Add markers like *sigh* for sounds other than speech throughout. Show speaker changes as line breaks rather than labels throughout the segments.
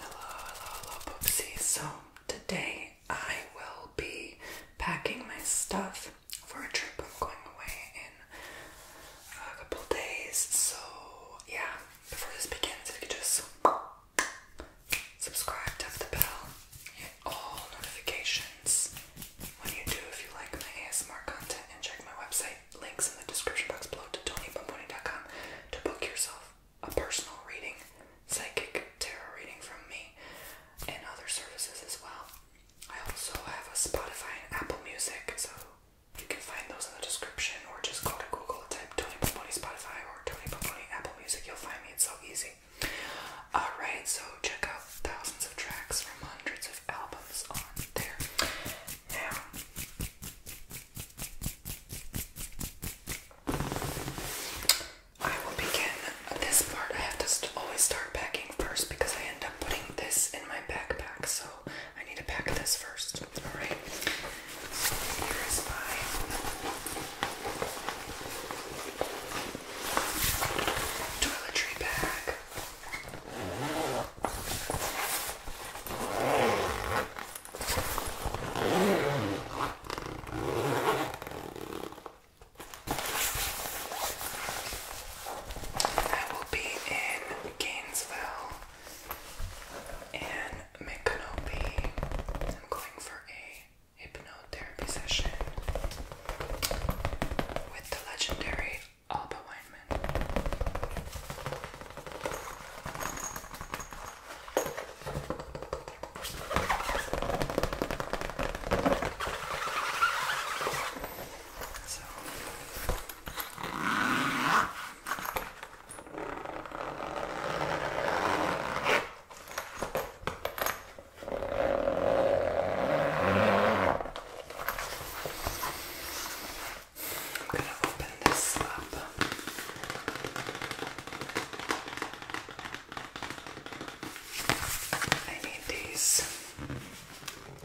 Hello, hello, hello, Poopsie. So today I will be packing my stuff for a trip. I'm going away in a couple days. So yeah, before this begins, if you could just subscribe, tap the bell, hit all notifications when you do if you like my ASMR content and check my website links in the description box below to TonyBomboni.com to book yourself a personal reading, psychic tarot reading from me, and other services as well. I also have a Spotify and Apple Music, so you can find those in the description or just go to Google type Tony Spotify or Tony Apple Music. You'll find me, it's so easy. Alright, so check out thousands of tracks from hundreds of albums on there. Now, I will begin this part. I have to always start packing first because I end up putting this in my backpack, so I need to pack this first. Alright, so here is my toiletry bag. Mm-hmm. I will be in Gainesville and McConopy. I'm going for a hypnotherapy session with the legendary Albert Weinman. So I'm going to open this up. I need these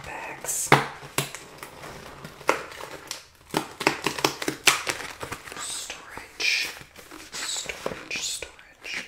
bags. Storage, storage, storage.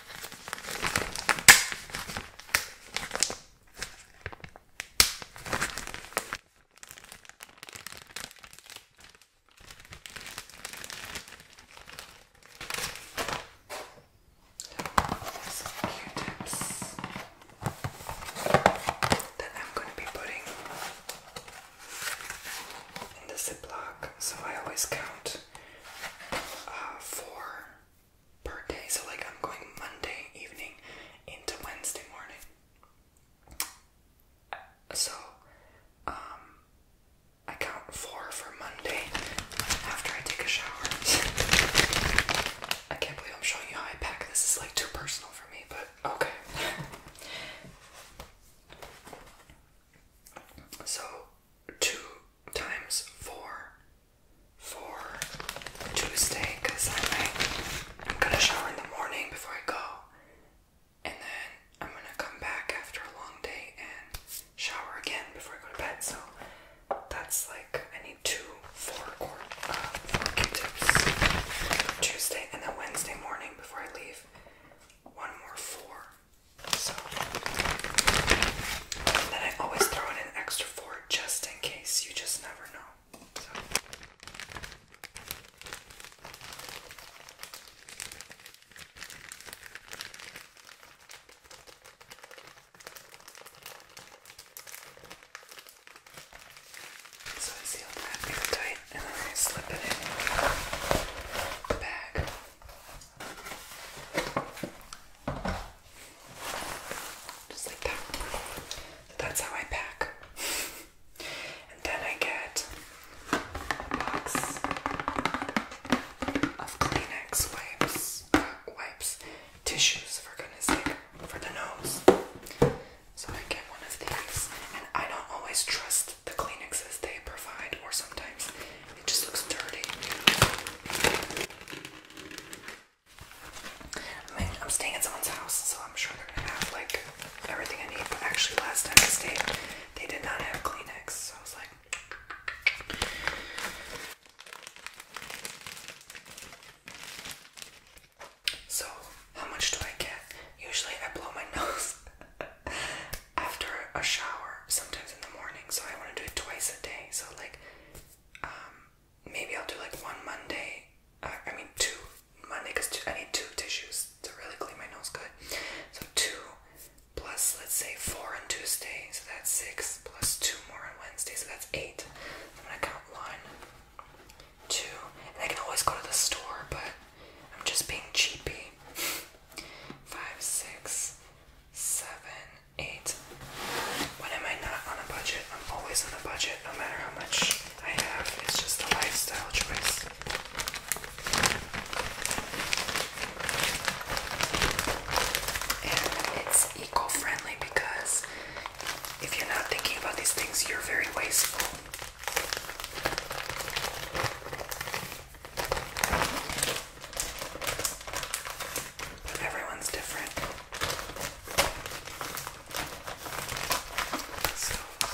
Q-tips that I'm going to be putting in the Ziploc, so I always count uh, four per day. So, like, I'm going Monday evening into Wednesday morning. So, um, I count four for Monday after I take a shower. I can't believe I'm showing you how I pack. This is like too personal for me, but okay. *laughs* so, 2 times 4 for Tuesday because I am gonna shower in the morning before I go and then I'm gonna come back after a long day and shower again before I go to bed so that's like I need two four or uh, q Q-tips Tuesday and then Wednesday morning before I leave one more four so then I always throw in an extra four just in case. You just never know. So. I seal that airtight and then I slip it in the bag. Just like that. that's how I pack. *laughs* and then I get a box of Kleenex wipes, wipes, tissues for for the nose. So I get one of these, and I don't always trust the Kleenexes they provide, or sometimes it just looks dirty. I am staying at someone's house, so I'm sure they're gonna have like everything I need. But actually, last time I stayed, they did not have Kleenex, so I was like. So, how much do I get? Usually, I blow my *laughs* nose after a shower, sometimes in the morning. So I want to do it twice a day. So like, um, maybe I'll do like one Monday. Uh, I mean two Monday I need two tissues to really clean my nose good. So two plus let's say four on Tuesday, so that's six. Plus two more on Wednesday, so that's eight. I'm gonna count one, two, and I can always go to the store, but I'm just being cheapy five, six, seven, eight. When am I not on a budget? I'm always on a budget, no matter how much I have. It's just a lifestyle choice. And it's eco-friendly because if you're not thinking about these things, you're very wasteful. Everyone's different. So put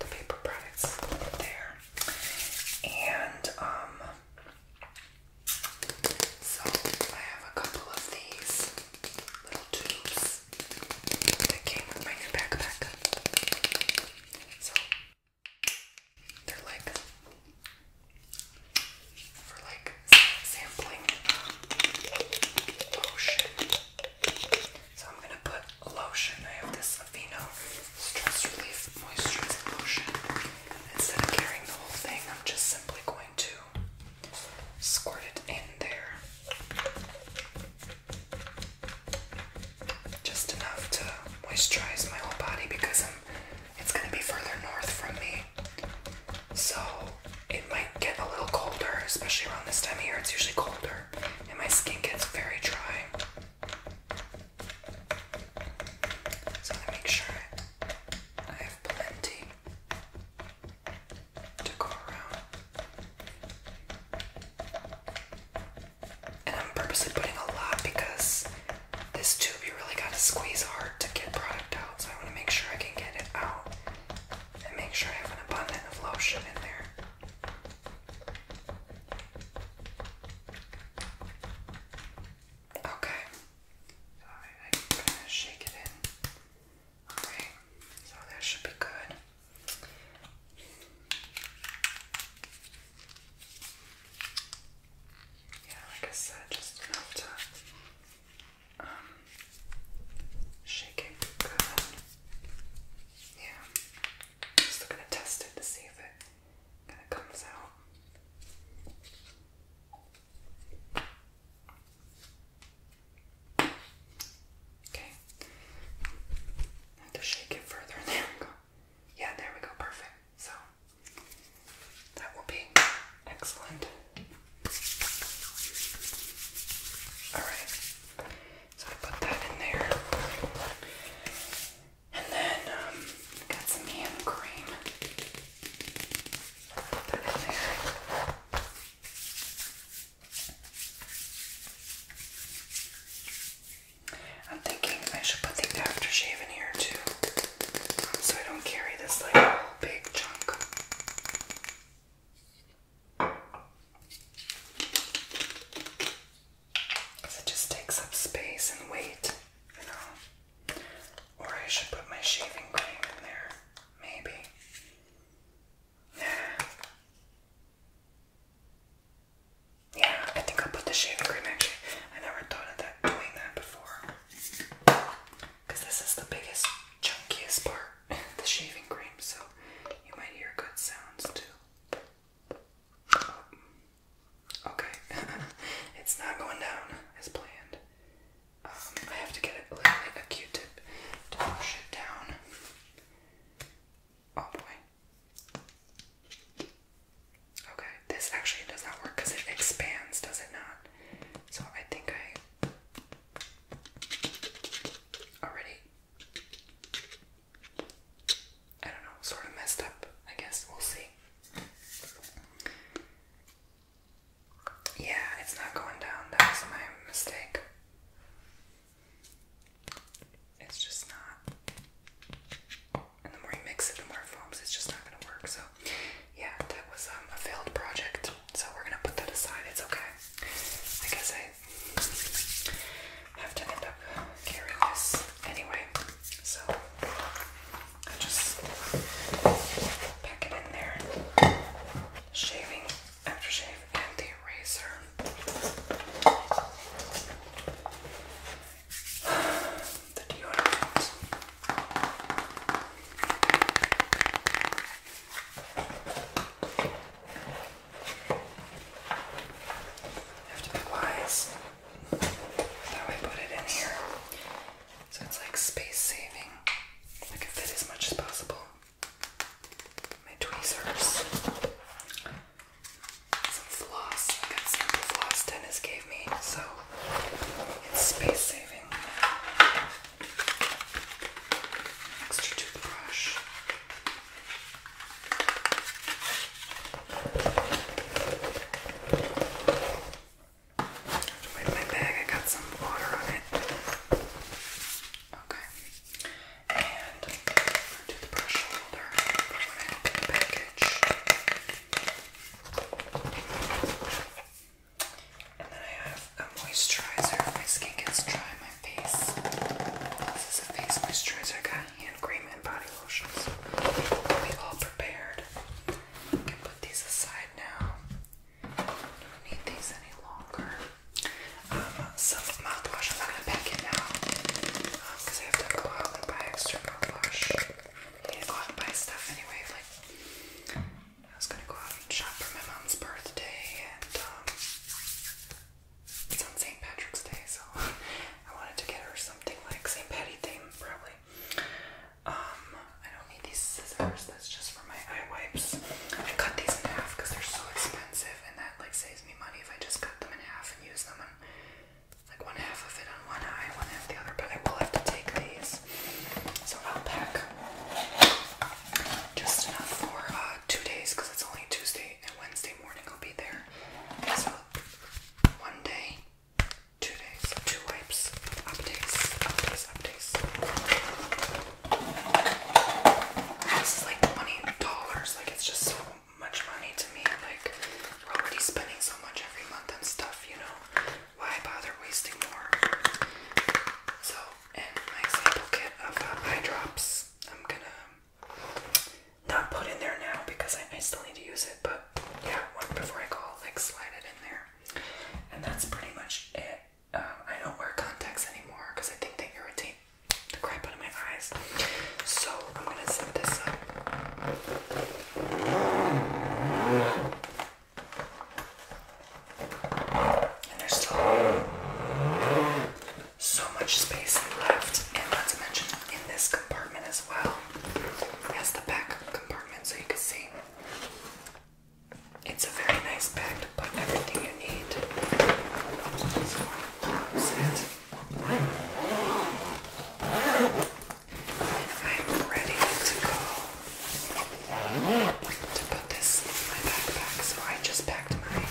the paper products there. And um so I have a couple of these little tubes that came with my new backpack. So they're like for like sampling lotion. Oh, so I'm gonna put lotion. I have this Aveeno Stress Relief Moisturizing Lotion. Instead of carrying the whole thing, I'm just simply going to squirt it in there. Just enough to moisturize my whole body because I'm, it's going to be further north from me. So it might get a little colder, especially around this time of year. It's usually colder, and my skin gets very dry. So I make sure I have plenty to go around. And I'm purposely putting a lot because this tube you really gotta squeeze hard to get product out. So I wanna make sure I can get it out and make sure I have an abundant of lotion in there. Okay. Alright, I'm gonna shake it in. Alright, so that should be good. Yeah, like I said, just enough to um, shake it good. Yeah, i gonna test it to see if it kind of comes out. Okay. have to shake it further. *laughs* There we go. Yeah, there we go. Perfect. So that will be excellent. Alright. So put that in there. And then um, got some hand cream. Put that in there. I'm thinking I should put the aftershave in here too, so I don't carry this like whole big chunk. Because it just takes up space and weight, you know. Or I should put my shaving cream in there, maybe. Yeah, I think I'll put the shaving cream actually. I never thought of that doing that before. Because this is the biggest, chunkiest part, *laughs* the shaving cream, so you might hear good sounds too. Oh. Okay, *laughs* it's not going down as planned. Um, I have to get a, a Q-tip to push it down. Oh boy. Okay, this actually does not work because it expands, does it not? So I think I already, I don't know, sort of messed up. I guess we'll see. Yeah, it's not going down. That was my mistake. It's just not. And the more you mix it, the more it foams. It's just not gonna work. So, yeah, that was um, a failed project. So we're gonna put that aside. It's okay. I guess I have to end up carrying this anyway. So I just pack it in there. Shaving after shave and the eraser. The deodorant. Have to be wise how I put it in here. So it's like space saving. Like I fit as much as possible my tweezers, some floss. I got sample floss Dennis gave me, so it's space saving. Extra toothbrush. my bag, I got some water on it. Okay. And I have a moisturizer. My skin gets dry my face. This is a face moisturizer. got hand cream and body lotions. i all prepared. I can put these aside now. Don't need these any longer. Um, uh, some mouthwash. I'm not gonna pack it now because uh, I have to go out and buy extra mouthwash. need to go out and buy stuff anyway. Like I was gonna go out and shop for my mom's birthday, and um, it's on St. Patrick's Day, so *laughs* I wanted to get her something like St. Patty theme, probably. Um, I don't need these scissors. That's just for my eye wipes. I cut these in half because they're so expensive, and that like saves me money if I just cut them in half and use them on like one half of it on one eye, one half the other. But I will have to take these, so I'll pack just enough for uh, two days because it's only Tuesday and Wednesday morning. I'll be there, so one day. Two days, two wipes, up days, up this is like twenty dollars. Like it's just so much money to me. Like we're already spending so much every month on stuff, you know. Why bother wasting more? So in my sample kit of uh, eye drops, I'm gonna not put in there now because I, still need to use it. But yeah, one before I go, like slide it in there. And that's pretty much it. Uh, I don't wear contacts anymore because I think they irritate the crap out of my eyes. So I'm gonna set this up. And there's still so much space left, and not to mention in this compartment as well. as the back compartment so you can see. It's a very nice bag to put everything you need. So I'm ready to go to put this in my backpack. So I just packed my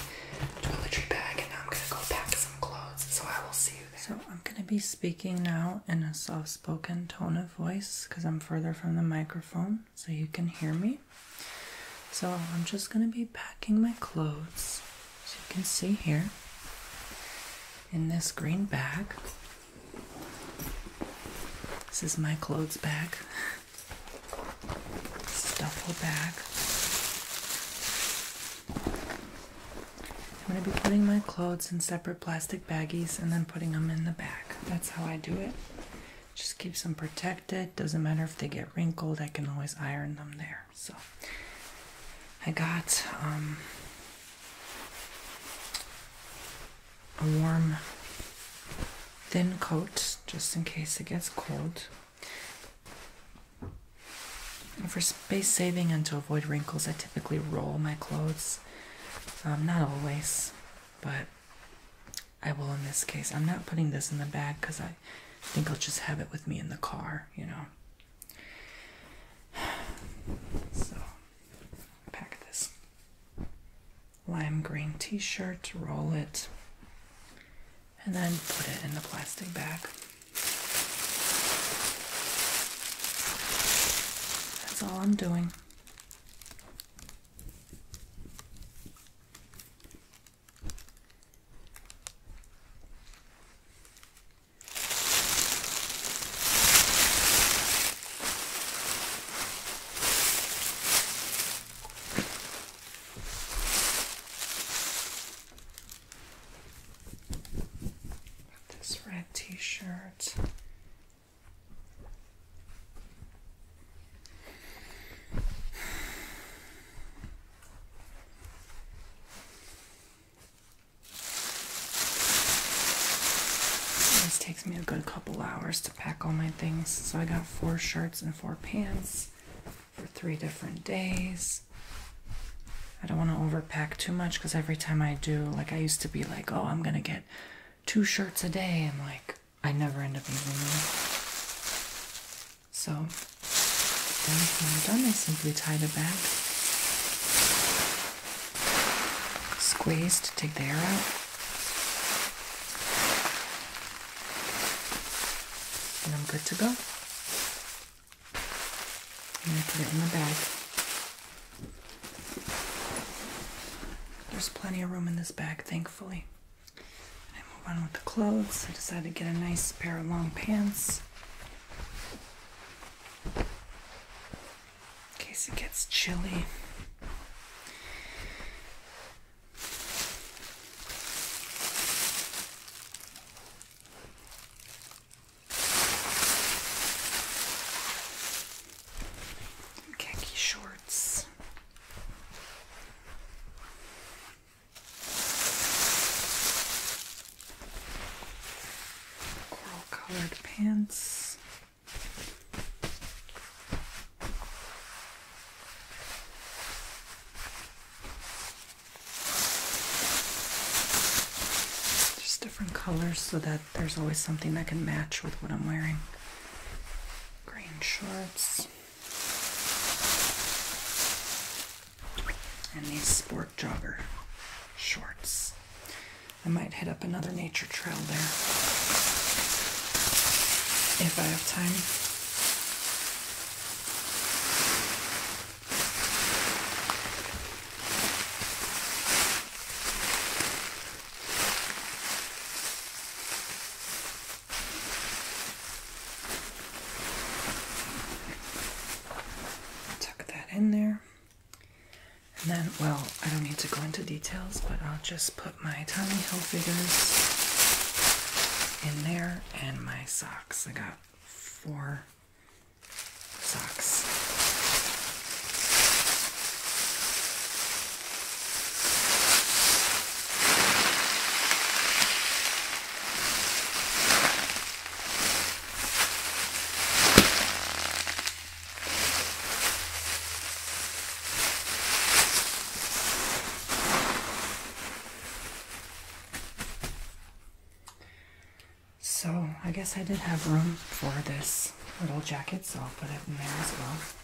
toiletry bag and now I'm gonna go pack some clothes. So I will see you there. So I'm gonna be speaking now in a soft spoken tone of voice because I'm further from the microphone so you can hear me. So I'm just going to be packing my clothes, as you can see here, in this green bag. This is my clothes bag, duffel bag. I'm going to be putting my clothes in separate plastic baggies and then putting them in the bag. That's how I do it just keeps them protected. Doesn't matter if they get wrinkled, I can always iron them there. So I got um, a warm, thin coat just in case it gets cold. for space saving and to avoid wrinkles, I typically roll my clothes. Um, not always, but I will in this case. I'm not putting this in the bag because I think I'll just have it with me in the car, you know. *sighs* So, pack this lime green t shirt, roll it, and then put it in the plastic bag. That's all I'm doing. This red t shirt this takes me a good couple hours to pack all my things. So I got four shirts and four pants for three different days. I don't want to overpack too much because every time I do, like I used to be like, oh, I'm going to get two shirts a day and like I never end up using them. So, when I'm done, I simply tie the back, squeeze to take the air out, and I'm good to go. And I put it in the bag. There's plenty of room in this bag, thank I move on with the clothes. I decided to get a nice pair of long pants. In case it gets chilly. Khaki shorts this. Coral colored pants. Just different colors so that there's always something that can match with what I'm wearing. Green shorts. And these sport jogger shorts. I might hit up another nature trail there if I have time. Tuck that in there. And then, well, I don't need to go into details, but I'll just put my Tommy Hilfigers in there and my socks. I got four socks. So I guess I did have room for this little jacket, so I'll put it in there as well.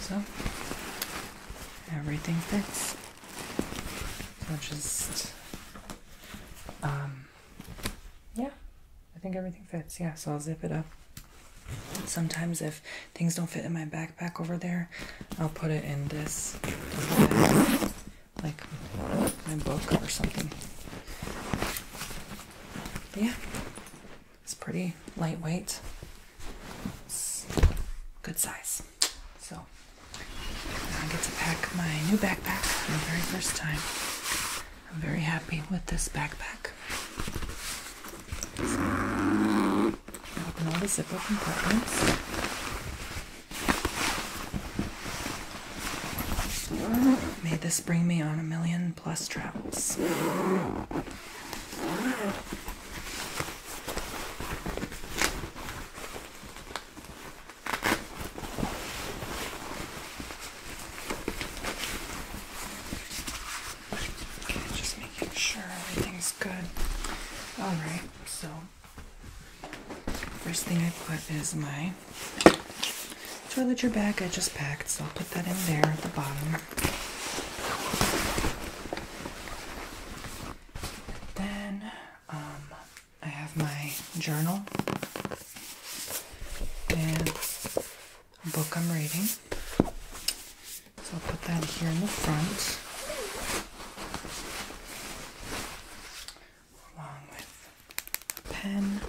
So everything fits. we just, um, yeah, I think everything fits. Yeah, so I'll zip it up. Sometimes if things don't fit in my backpack over there, I'll put it in this like my book or something yeah, it's pretty lightweight. good size. So I get to pack my new backpack for the very first time. I'm very happy with this backpack. open all the zip compartments. May this bring me on a million plus travels. just making sure everything's good. Alright, so first thing I put is my Okay. Toiletry bag I just packed, so I'll put that in there at the bottom. Then um, I have my journal and a book I'm reading. So I'll put that here in the front. Along with pen.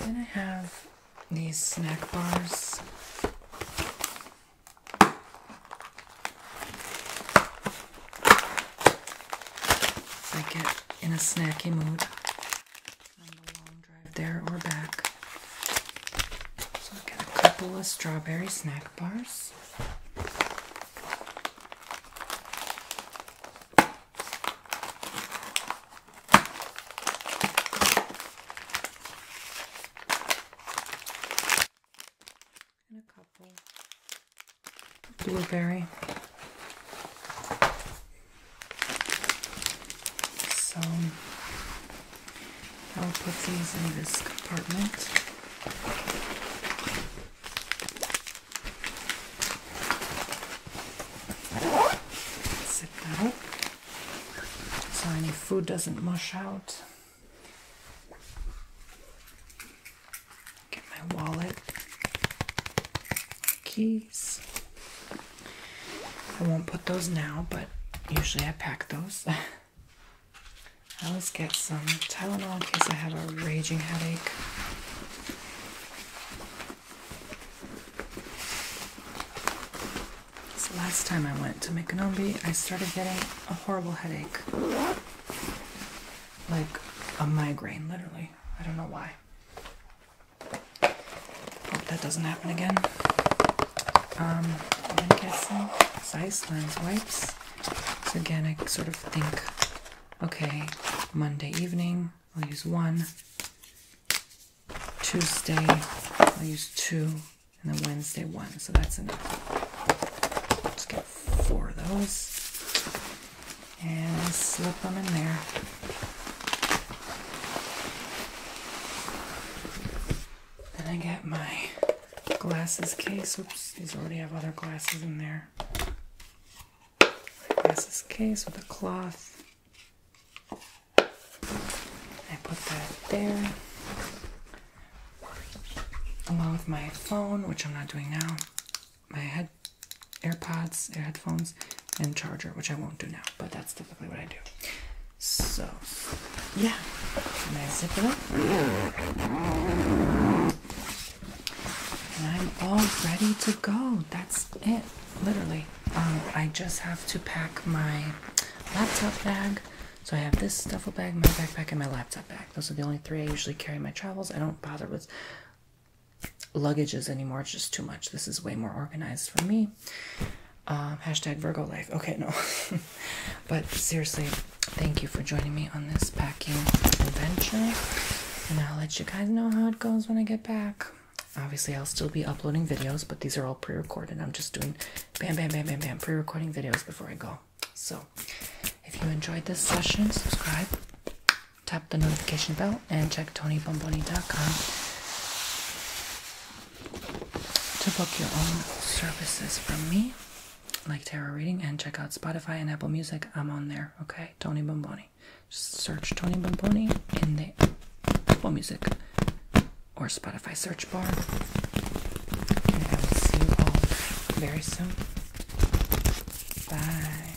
Then I have these snack bars. I get in a snacky mood drive there or back. So I got a couple of strawberry snack bars. And a couple blueberry so I'll put these in this compartment. Sit that so any food doesn't mush out. Get my wallet, keys. I won't put those now, but usually I pack those. *laughs* I always get some Tylenol in case I have a raging headache. last time I went to Mikanonbi, I started getting a horrible headache. Like a migraine, literally. I don't know why. Hope that doesn't happen again. Um, I'm guessing size lens wipes. So again, I sort of think, okay, Monday evening, I'll use one. Tuesday, I'll use two. And then Wednesday, one. So that's enough. Let's get four of those. And slip them in there. Then I get my glasses case. Oops, these already have other glasses in there. glasses case with a cloth. I put that there. Along with my phone, which I'm not doing now, my head AirPods, headphones, and charger, which I won't do now, but that's the typically what I do. So, yeah, and I and I'm all ready to go. That's it, literally. Um, I just have to pack my laptop bag. So I have this duffel bag, my backpack, and my laptop bag. Those are the only three I usually carry in my travels. I don't bother with luggages anymore. It's just too much. This is way more organized for me. Um, hashtag Virgo life. Okay, no. *laughs* but seriously, thank you for joining me on this packing adventure. And I'll let you guys know how it goes when I get back. Obviously, I'll still be uploading videos, but these are all pre recorded. I'm just doing bam, bam, bam, bam, bam, pre recording videos before I go. So, if you enjoyed this session, subscribe, tap the notification bell, and check TonyBomboni.com to book your own services from me, like tarot reading, and check out Spotify and Apple Music. I'm on there, okay? Tony Bomboni. Just search Tony Bomboni in the Apple Music or Spotify search bar. And I will see you all very soon. Bye.